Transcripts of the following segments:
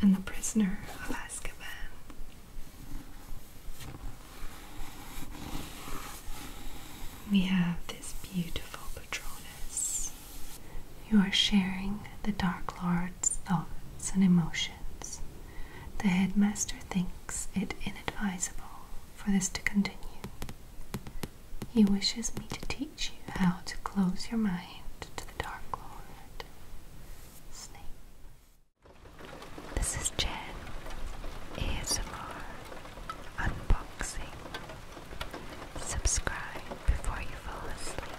And the prisoner of Azkaban. We have this beautiful Patronus you are sharing the Dark Lord's thoughts and emotions. The headmaster thinks it inadvisable for this to continue. He wishes me to teach you how to close your mind to the Dark Lord. Snape. This is Jen. ASMR. Unboxing. Subscribe before you fall asleep.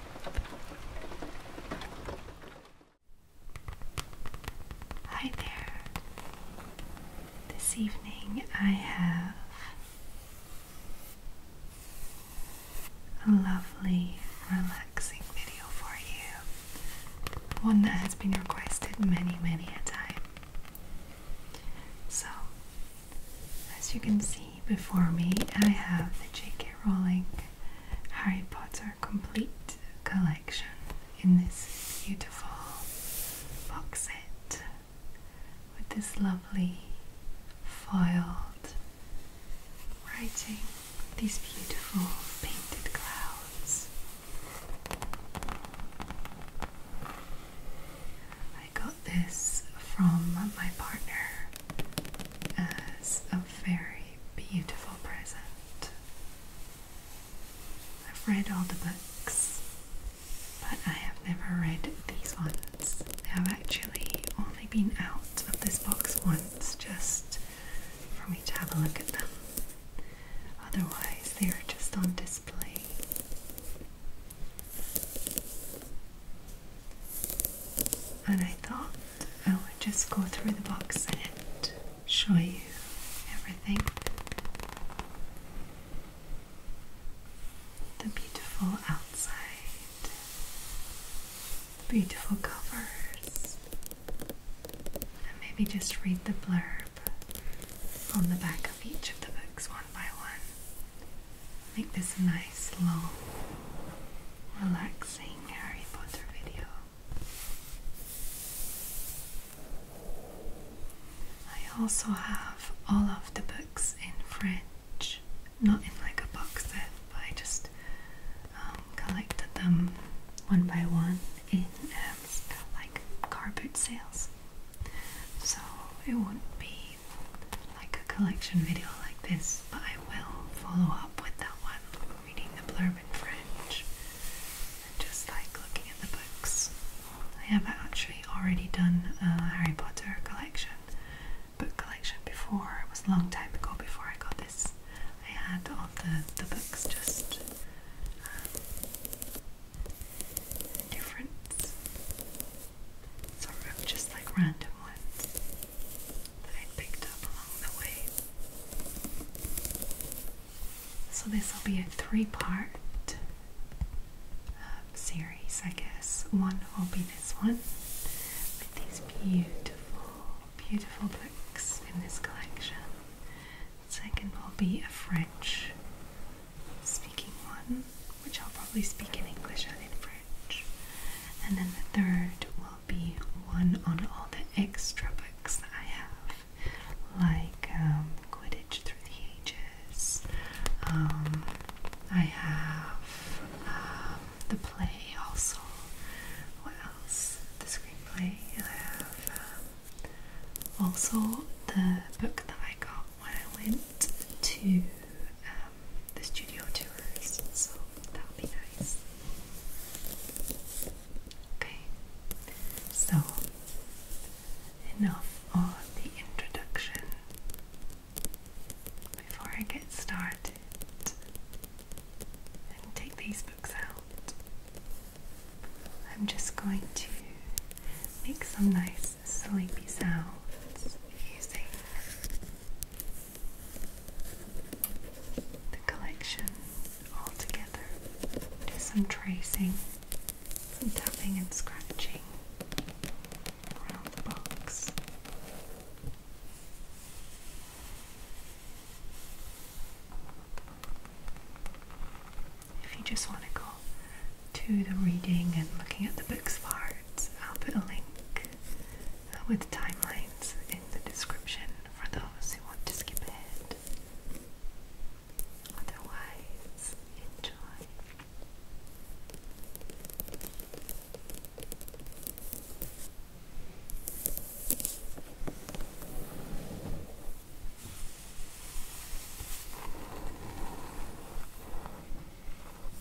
Hi there. This evening I have a lovely, relaxing video for you. One that has been requested many, many a time. So, as you can see before me, I have the J.K. rolling. Harry Potter complete collection in this beautiful box set with this lovely foiled writing, these beautiful painted clouds. I got this from my partner as a very beautiful present. I've read all the books, but I have never read these ones. They have actually only been out of this box once just for me to have a look at them. Otherwise, they are just on display and I thought I would just go through the box and show you everything. The beautiful outside, beautiful covers, and maybe just read the blurb on the back of each of the books one by one. Make this nice slow, relaxing Harry Potter video. I also have all of the books in French, not in like a box set, but I just um, collected them one by one in um, like car boot sales. So it won't be like a collection video like this, but I will follow up with that one, reading the blurb in French just like looking at the books. I have actually already done a Harry Potter collection, book collection before, it was a long time ago before I got this. I had all the, the books just um, different, sort of just like random ones that I picked up along the way. So, this will be a three part um, series, I guess. One will be this one with these beautiful, beautiful books in this collection. second will be a French speaking one, which I'll probably speak in English and in French. And then the third will be one on all the extra books that I have, like um, Quidditch Through the Ages. Um, I have um, the play also. What else? The screenplay. I have um, also the book that I got when I went to. Um, the studio tours, so that'll be nice. Okay, so enough on the introduction. Before I get started and take these books out, I'm just going to make some nice sleepy sounds using the collection all together. Do some tracing, some tapping and scratching around the box. If you just want to go to the reading and looking at the books part, I'll put a link with timelines in the description for those who want to skip ahead. Otherwise, enjoy.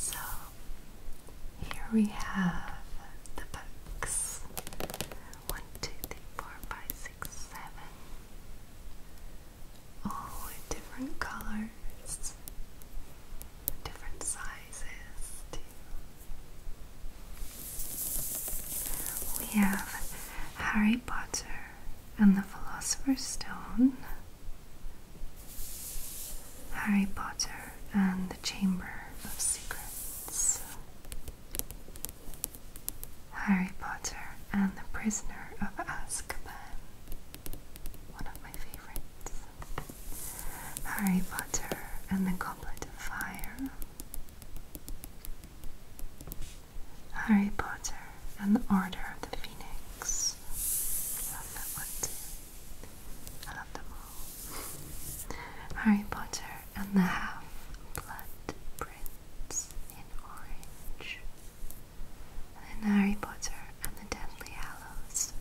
So here we have the books one, two, three, four, five, six, seven. All oh, different colors, different sizes We have Harry Potter and the Philosopher's Stone, Harry Potter and the Chamber of Secrets. Harry Potter and the Prisoner of Azkaban. One of my favorites. Harry Potter and the Goblet of Fire. Harry Potter and the Order of the Phoenix. I love them all. Harry Potter and the Half-Blood Prince in orange. And Harry Potter and the Deadly Hallows,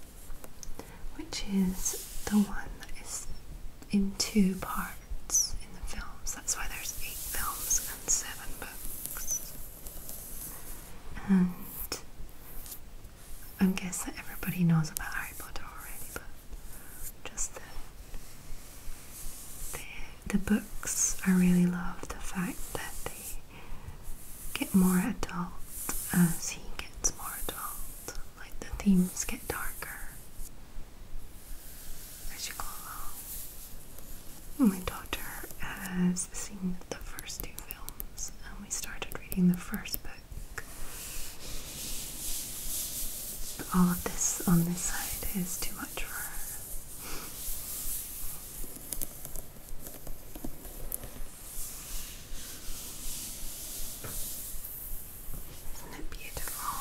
which is the one that is in two parts in the films. That's why there's eight films and seven books. And I guess that everybody knows about Harry Potter already, but just the the, books, I really love the fact that they get more adult as he gets more adult. Like the themes get darker as you go along. My daughter has seen the first two films, and we started reading the first book all of this on this side is too much for her. Isn't it beautiful?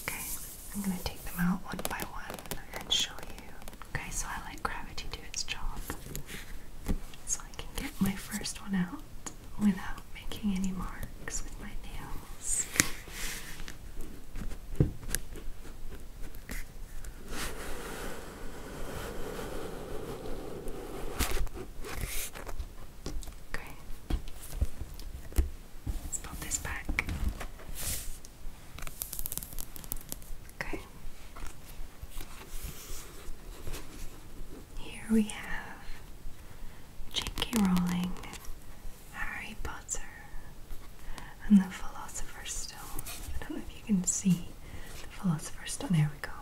Okay, I'm going to take them out one by one and show you. Okay, so I let gravity do its job. So I can get my first one out without making any marks with my nails. Okay. Let's put this back. Okay. Here we have J.K. Rowling, Harry Potter, and the Philosopher's Stone. I don't know if you can see the Philosopher's Stone. There we go.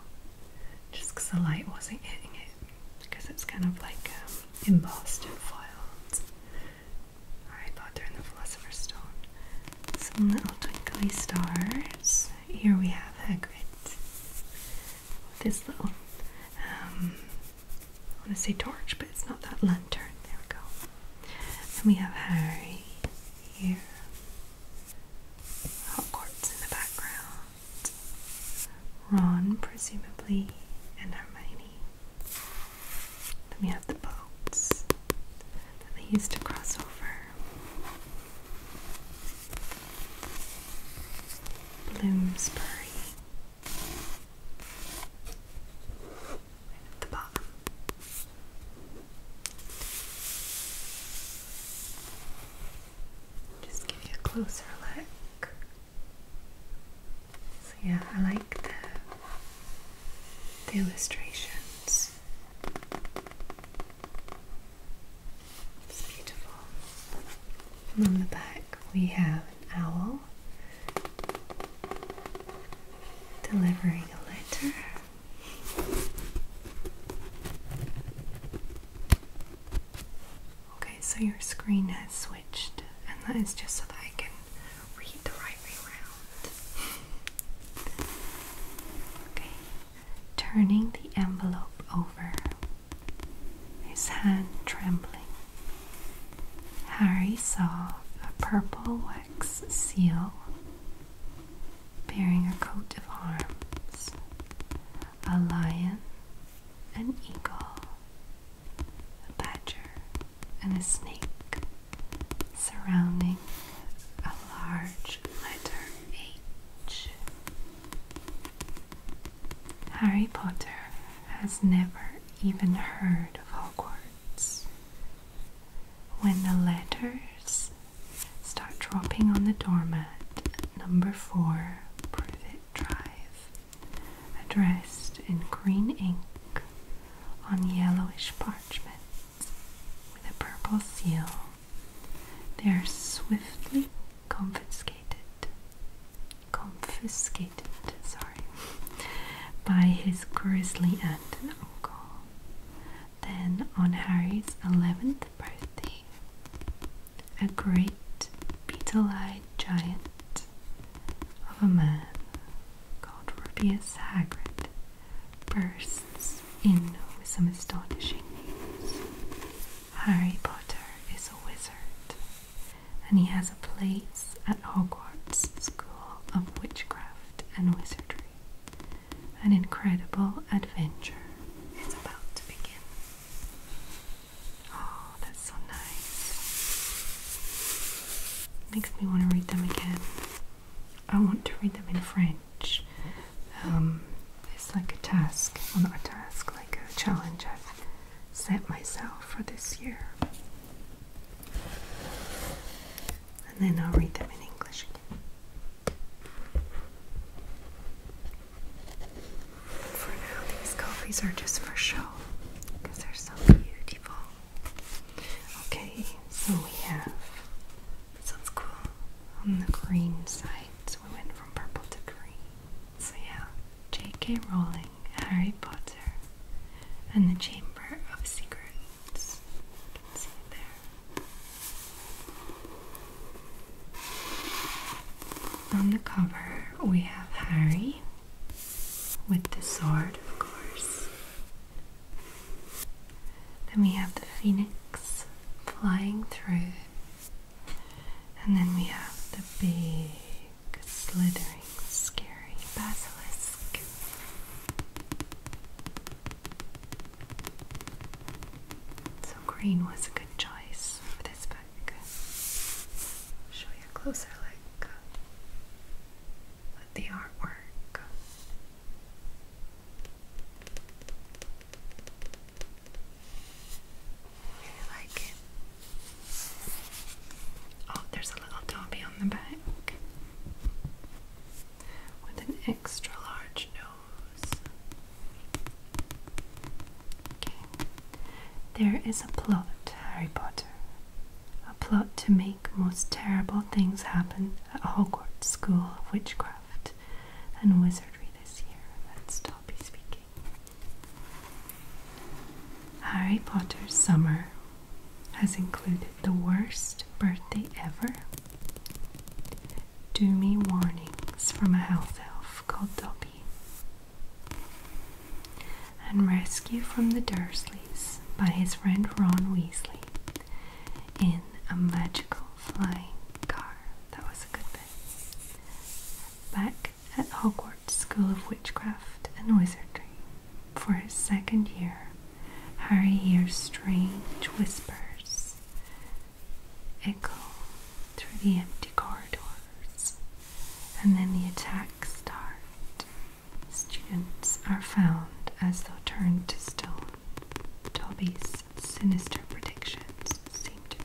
Just because the light wasn't hitting it, because it's kind of like um, embossed and foiled. Harry Potter and the Philosopher's Stone. Some little twinkly stars here we have Hagrid with this little, um, I want to say torch, but it's not that lantern. There we go. And we have Harry here. Hogwarts in the background. Ron, presumably, and Hermione. Then we have the boats that they used to cross over. Bloomsbury. the bottom. Just give you a closer look. So yeah, I like the the illustrations. It's beautiful. And on the back, we have an owl delivering a letter. Okay, so your screen has switched, and that is just so that I can read the right way around. okay, turning the envelope over, his hand trembling. Harry saw a purple wax seal bearing a coat of arms, a lion, an eagle, a badger, and a snake surrounding a large letter H. Harry Potter has never even heard of Hogwarts. When the letters start dropping on the doormat number 4 Privet Drive, addressed in green ink on yellowish parchment with a purple seal they are swiftly confiscated, confiscated, sorry, by his grizzly aunt and uncle. Then, on Harry's 11th birthday, a great beetle-eyed giant of a man called Rubeus Hagrid bursts in with some astonishing news. Harry Potter is a wizard, and he has a place at Hogwarts School of Witchcraft and Wizardry. An incredible adventure is about to begin. Oh, that's so nice. Makes me want to read them again. I want to read them in French. It's um, like a task, well not a task, like a challenge I've set myself for this year. And then I'll read them in English For now, these copies are just for show because they're so beautiful. Okay, so we have this one's cool. On the green side, we went from purple to green. So yeah, J.K. Rowling, Harry Potter, and the Chamber of Secrets. see there. On the cover, we have Harry with the sword, of course. Then we have the phoenix flying through and then we have the big, slithering, scary basilisk. So, green was a good choice for this book. Show you closer look the artwork. Really like it. Oh, there's a little Dobby on the back with an extra large nose. Okay. There is a plot, Harry Potter. A plot to make most terrible things happen at Hogwarts School of Witchcraft and Wizardry this year, that's Dobby speaking. Harry Potter's summer has included the worst birthday ever, doomy warnings from a health elf called Dobby, and rescue from the Dursleys by his friend Ron Weasley in a magical flying car. That was a good back at Hogwarts School of Witchcraft and Wizardry. For his second year, Harry hears strange whispers echo through the empty corridors, and then the attacks start. Students are found as though turned to stone. Toby's sinister predictions seem to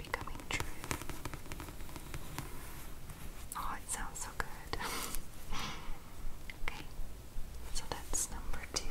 Oh, it sounds so good. okay, so that's number two.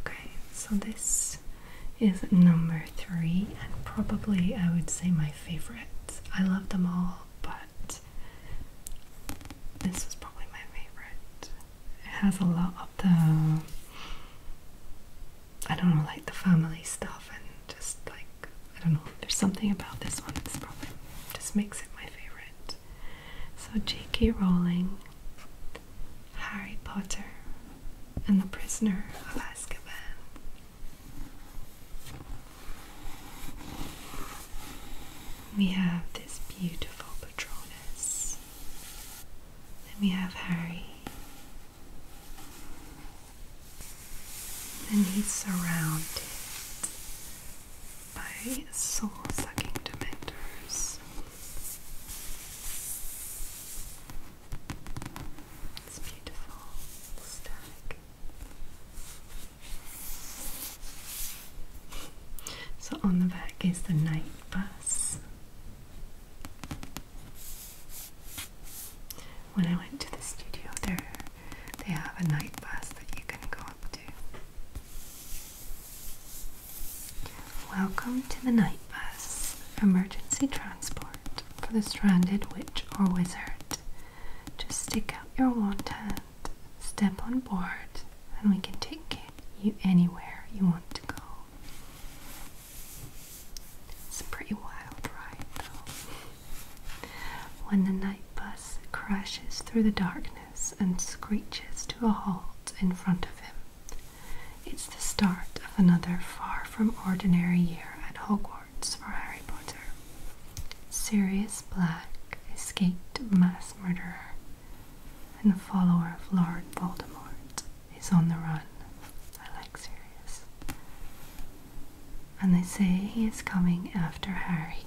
Okay, so this is number three, and probably I would say my favorite. I love them all, but this was probably my favorite. It has a lot of the, I don't know, like the family stuff and just like I don't know, there's something about this one that's probably just makes it my favorite. So, J.K. Rowling, Harry Potter, and the Prisoner of Azkaban. We have this beautiful Patronus. Then we have Harry and he's surrounded by soul-sucking dementors. It's beautiful stack. So on the back is the night bus. When I went to the studio there, they have a night bus that you can go Welcome to the Night Bus, emergency transport for the stranded witch or wizard. Just stick out your wand hand, step on board, and we can take you anywhere you want to go. It's a pretty wild ride, though. When the night bus crashes through the darkness and screeches to a halt in front of him, it's the start of another far from ordinary year at Hogwarts for Harry Potter. Sirius Black, escaped mass murderer and follower of Lord Voldemort, is on the run. I like Sirius. And they say he is coming after Harry.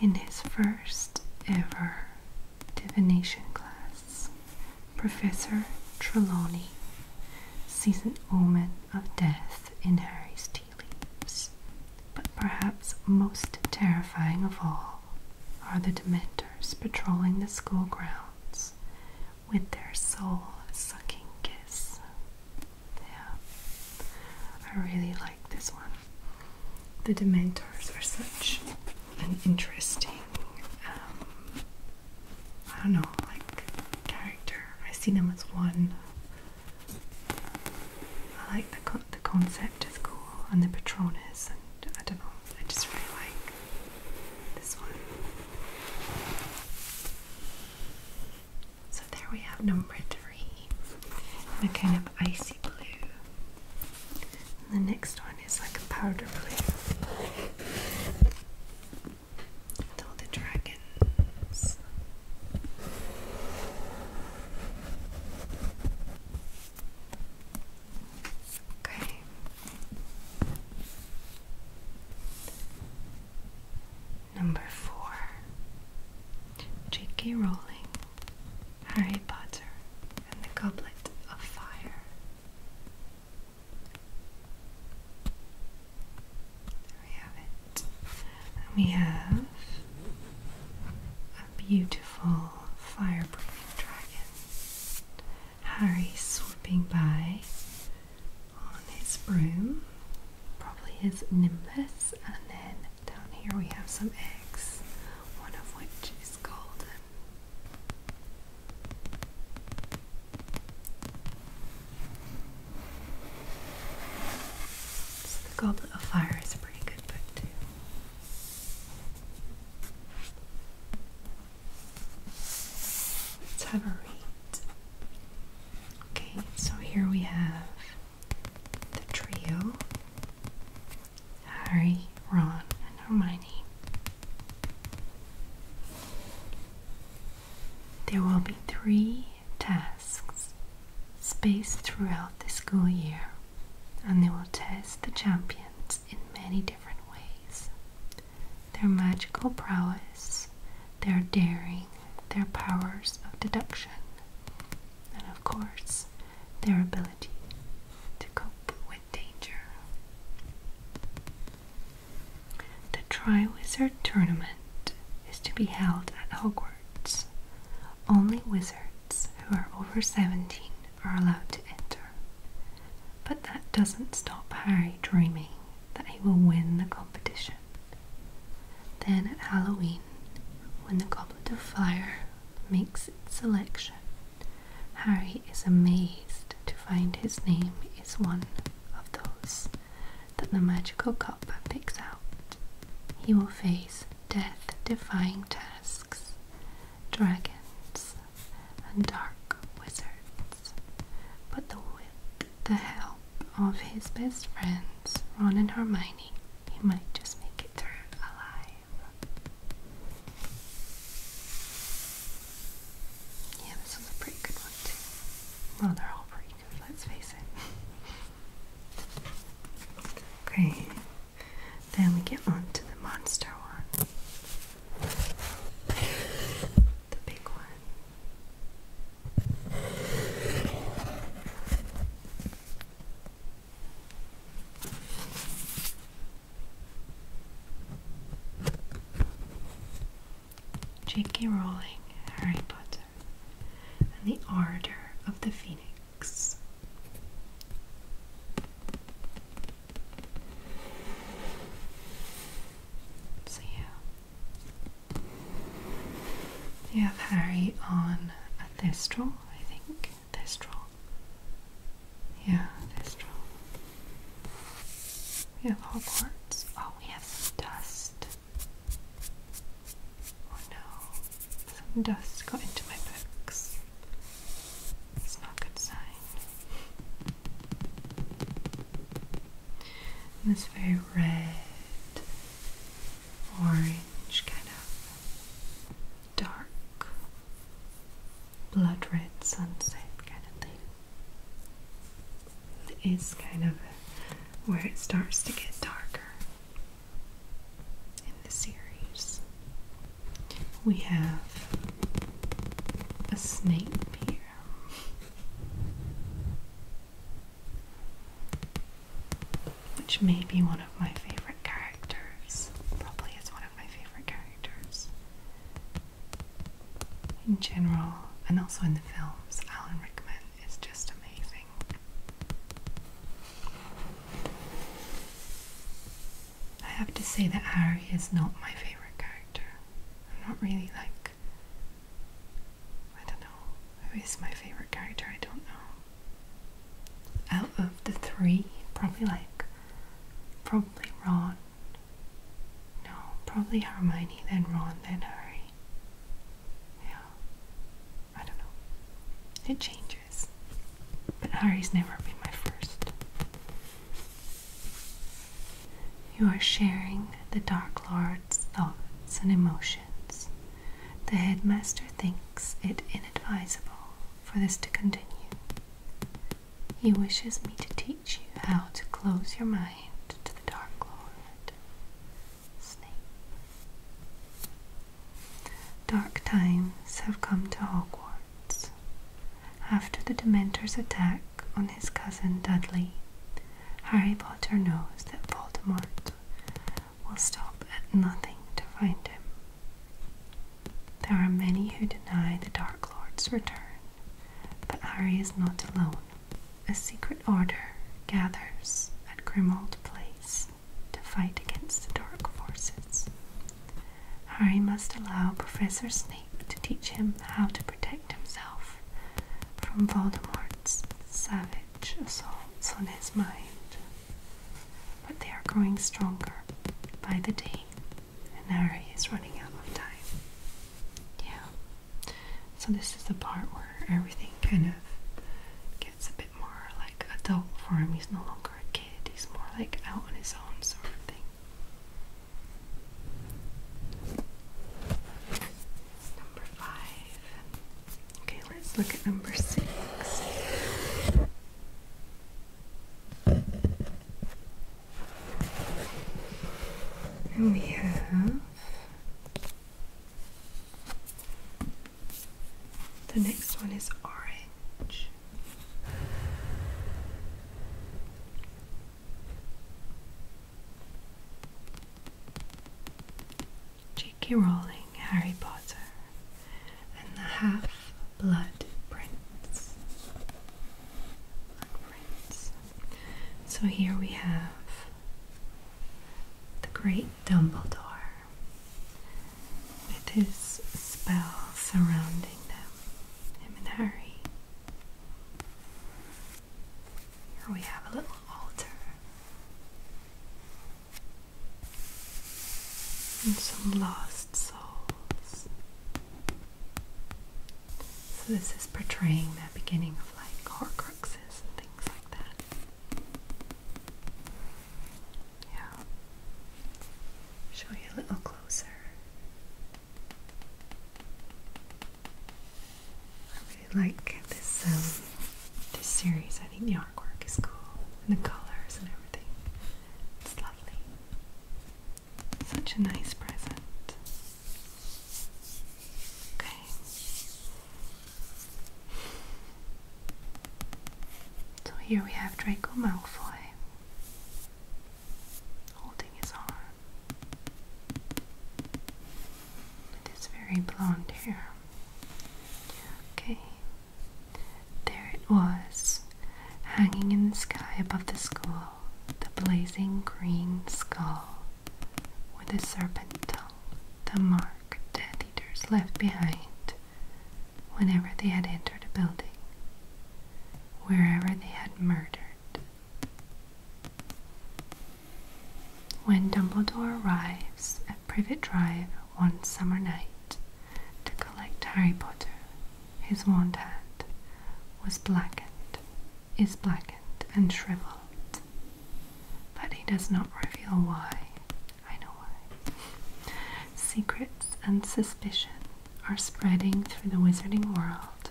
In his first ever divination class, Professor Trelawney sees an omen of death in Harry's tea leaves. But perhaps most terrifying of all are the Dementors patrolling the school grounds with their soul sucking kiss. Yeah, I really like this one. The Dementors are such an interesting, um, I don't know, like character. I see them as one. I like the the concept is cool, and the Patronus, and I don't know, I just really like this one. So there we have number three, and a kind of icy blue. the next one is like a powder blue. all the dragons. Okay. Number four J.K. Rowling, Harry Potter, and the Goblet of Fire. There we have it. we have a beautiful fire breathing dragon. Harry swooping by on his broom probably his nimbus, and then down here we have some eggs, one of which is golden. So the Goblet of Fire is a pretty good book too. Let's have a read. Okay, so here we have the trio Harry, Ron, and Hermione. There will be three tasks spaced throughout the school year, and they will test the champions in many different ways their magical prowess, their daring, their powers of deduction, and of course, their ability to cope with danger. The Triwizard Tournament is to be held at Hogwarts. Only wizards who are over 17 are allowed to enter. But that doesn't stop Harry dreaming that he will win the competition. Then at Halloween, when the Goblet of Fire makes its selection, Harry is amazed to find his name is one of those that the magical cup picks out. He will face death defying tasks, dragons, and dark wizards, but the wit the help of his best friends, Ron and Hermione, he might just make it through alive. Yeah, this was a pretty good one, too. Well, they're all pretty good, let's face it. Okay, then we get on to the monster one. The big one. J.K. Rowling, Harry Potter, and the Order of the Phoenix. See you. We have Harry on a Thestral, I think. Thestral. Yeah, Thestral. We have Hogwarts. Oh, we have some dust. Oh no. Some dust got into my books. It's not a good sign. And it's very red orange, kind of dark, blood red sunset kind of thing. It is kind of where it starts to get darker in the series. We have a snake here which may be one of my favorite characters. Probably is one of my favorite characters. In general, and also in the films, Alan Rickman is just amazing. I have to say that Harry is not my favorite character. I'm not really like I don't know. Who is my favorite character? I don't know. Out of the three, probably like, probably Ron. No, probably Hermione, then Ron, then Harry. Yeah. I don't know. It changes. But Harry's never been my first. You are sharing the Dark Lord's thoughts and emotions. The headmaster thinks it inadvisable for this to continue. He wishes me to teach you how to close your mind to the Dark Lord, Snape. Dark times have come to Hogwarts. After the Dementor's attack on his cousin Dudley, Harry Potter knows that Voldemort will stop at nothing to find him. There are many who deny the Dark Lord's return, but Harry is not alone. A secret order gathers at Grimald Place to fight against the dark forces. Harry must allow Professor Snape to teach him how to protect himself from Voldemort's savage assaults on his mind, but they are growing stronger by the day, and now he is running out of time. Yeah. So this is the part where everything kind of gets a bit more like adult for him. He's no longer a kid. He's more like out on his own sort of thing. Number five, Okay, let's look at number six. And we have the next one is orange. J.K. Rowling, Harry Potter, and the Half Blood Prince. So here we have the great Dumbledore with his spell surrounding them, him and Harry. Here we have a little altar and some lost souls. So this is portraying that beginning of like horcruxes and things like that. Yeah. Show you a little closer. I really like this um, this series. I think the artwork is cool and the colors and everything. It's lovely. Such a nice present. Okay. So here we have Draco Malfoy holding his arm with his very blonde hair. Okay, there it was, hanging in the sky above the school, the blazing green skull with the serpent tongue, the mark Death Eaters left behind whenever they had entered a building, wherever they had murdered. When Dumbledore arrives at Privet Drive one summer night to collect Harry Potter, his wand hand was blackened, is blackened and shriveled. But he does not reveal why. I know why. Secrets and suspicion are spreading through the wizarding world,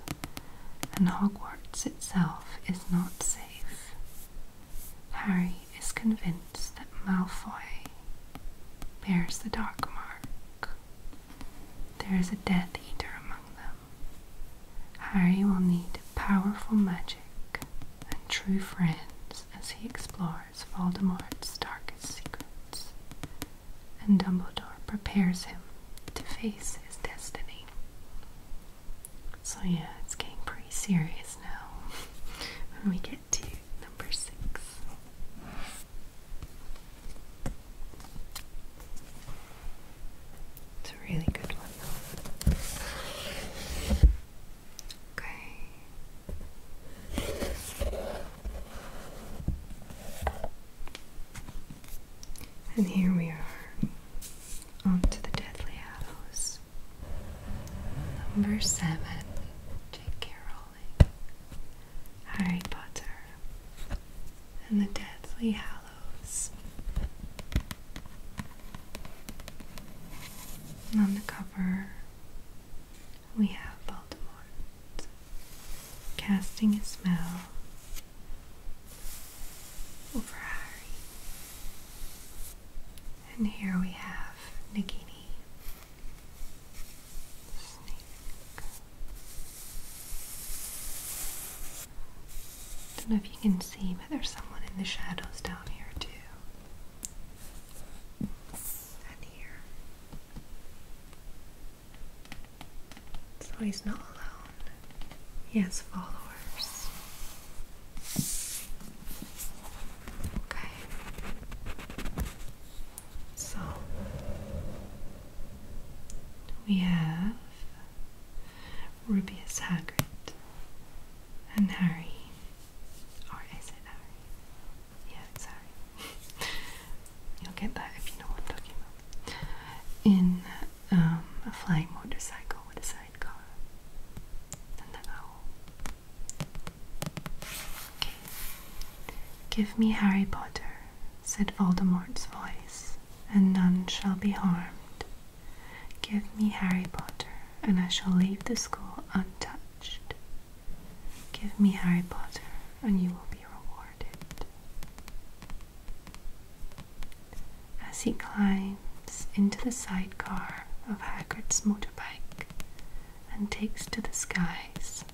and Hogwarts itself is not safe. Harry is convinced that Malfoy bears the Dark Mark. There is a Death Eater among them. Harry will need powerful magic and true friends as he explores Voldemort's darkest secrets, and Dumbledore prepares him to face his destiny. So, yeah, it's getting pretty serious now when we get to number six. It's a really good one, Okay. And here we are onto the Deathly Hallows. Number 7. J.K. Rowling. Harry Potter. And the Deathly Hallows. on the cover, we have Voldemort casting a spell over Harry. And here we have Nagini. Snake. Don't know if you can see, but there's someone in the shadows down here too. And here. So he's not alone. He has followers. Okay. So we have Rubius Hagrid and Harry. Or is it Harry? Yeah, it's You'll get that if you know what I'm talking about. In um, a flying motorcycle with a Give me Harry Potter, said Voldemort's voice, and none shall be harmed. Give me Harry Potter, and I shall leave the school untouched. Give me Harry Potter, and you will be rewarded as he climbs into the sidecar of Hagrid's motorbike and takes to the skies,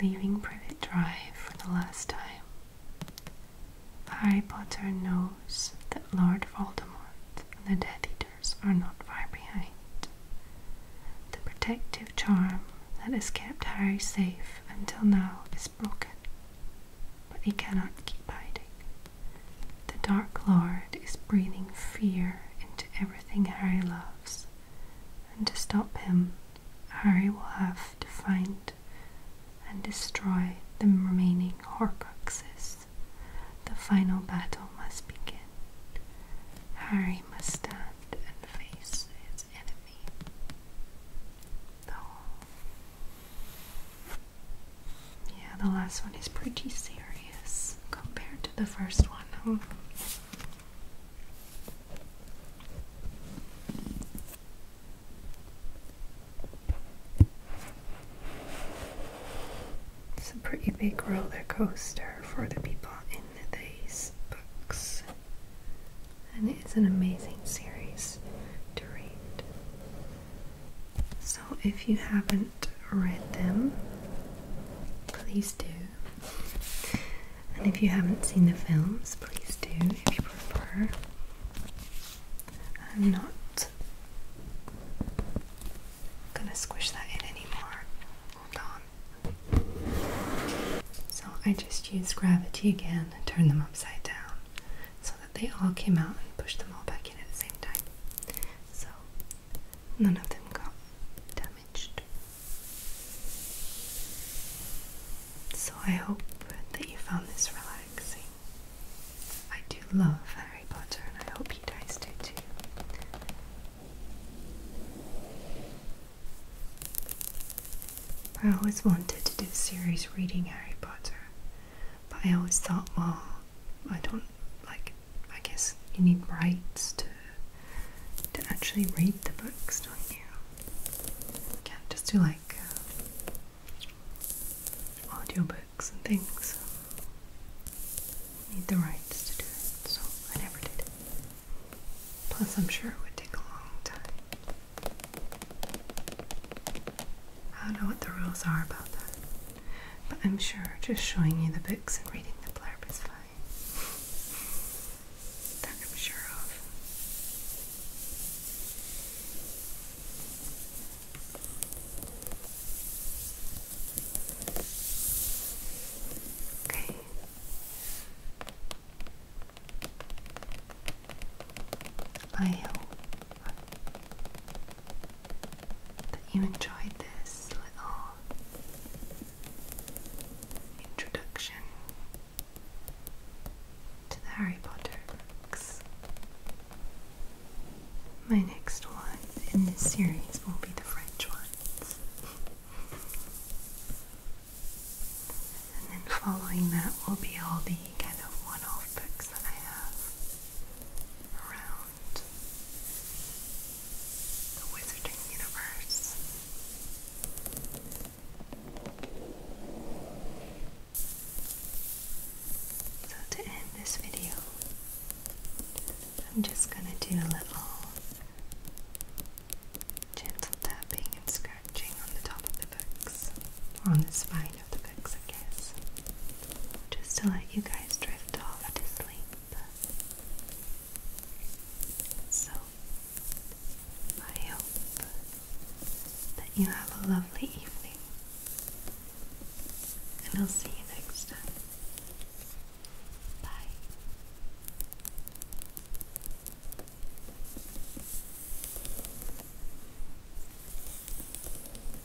leaving Privet Drive for the last time. Harry Potter knows that Lord Voldemort and the Death Eaters are not far behind. The protective charm that has kept Harry safe until now is broken, but he cannot keep hiding. The Dark Lord is breathing fear into everything Harry loves, and to stop him, Harry will have to find and destroy the remaining Horcruxes. The final battle must begin. Harry must stand and face his enemy. The whole yeah, the last one is pretty serious compared to the first one. It's a pretty big roller coaster for the people in these books, and it's an amazing series to read. So, if you haven't read them, please do. And if you haven't seen the films, please do if you prefer. I'm not gonna squish that in anymore. Hold on. So, I just use gravity again and turn them upside down so they all came out and pushed them all back in at the same time. So none of them got damaged. So I hope that you found this relaxing. I do love Harry Potter and I hope you guys do too. I always wanted to do series reading Harry Potter, but I always thought, well, I don't like I guess you need rights to to actually read the books, don't you? can't just do like uh, audio books and things. You need the rights to do it, so I never did. Plus, I'm sure it would take a long time. I don't know what the rules are about that. But I'm sure just showing you the books and reading the blurb is fine. That I'm sure of. Okay. I hope that you enjoyed this little introduction to the Harry Potter books. My next one in this series will be the French ones. And then following that will be all the kind of one-off books that I have around the wizarding universe. So, to end this video, I'm just gonna do a little gentle tapping and scratching on the top of the books on the spine. Just to let you guys drift off to sleep. So, I hope that you have a lovely evening, and I'll see you next time. Bye.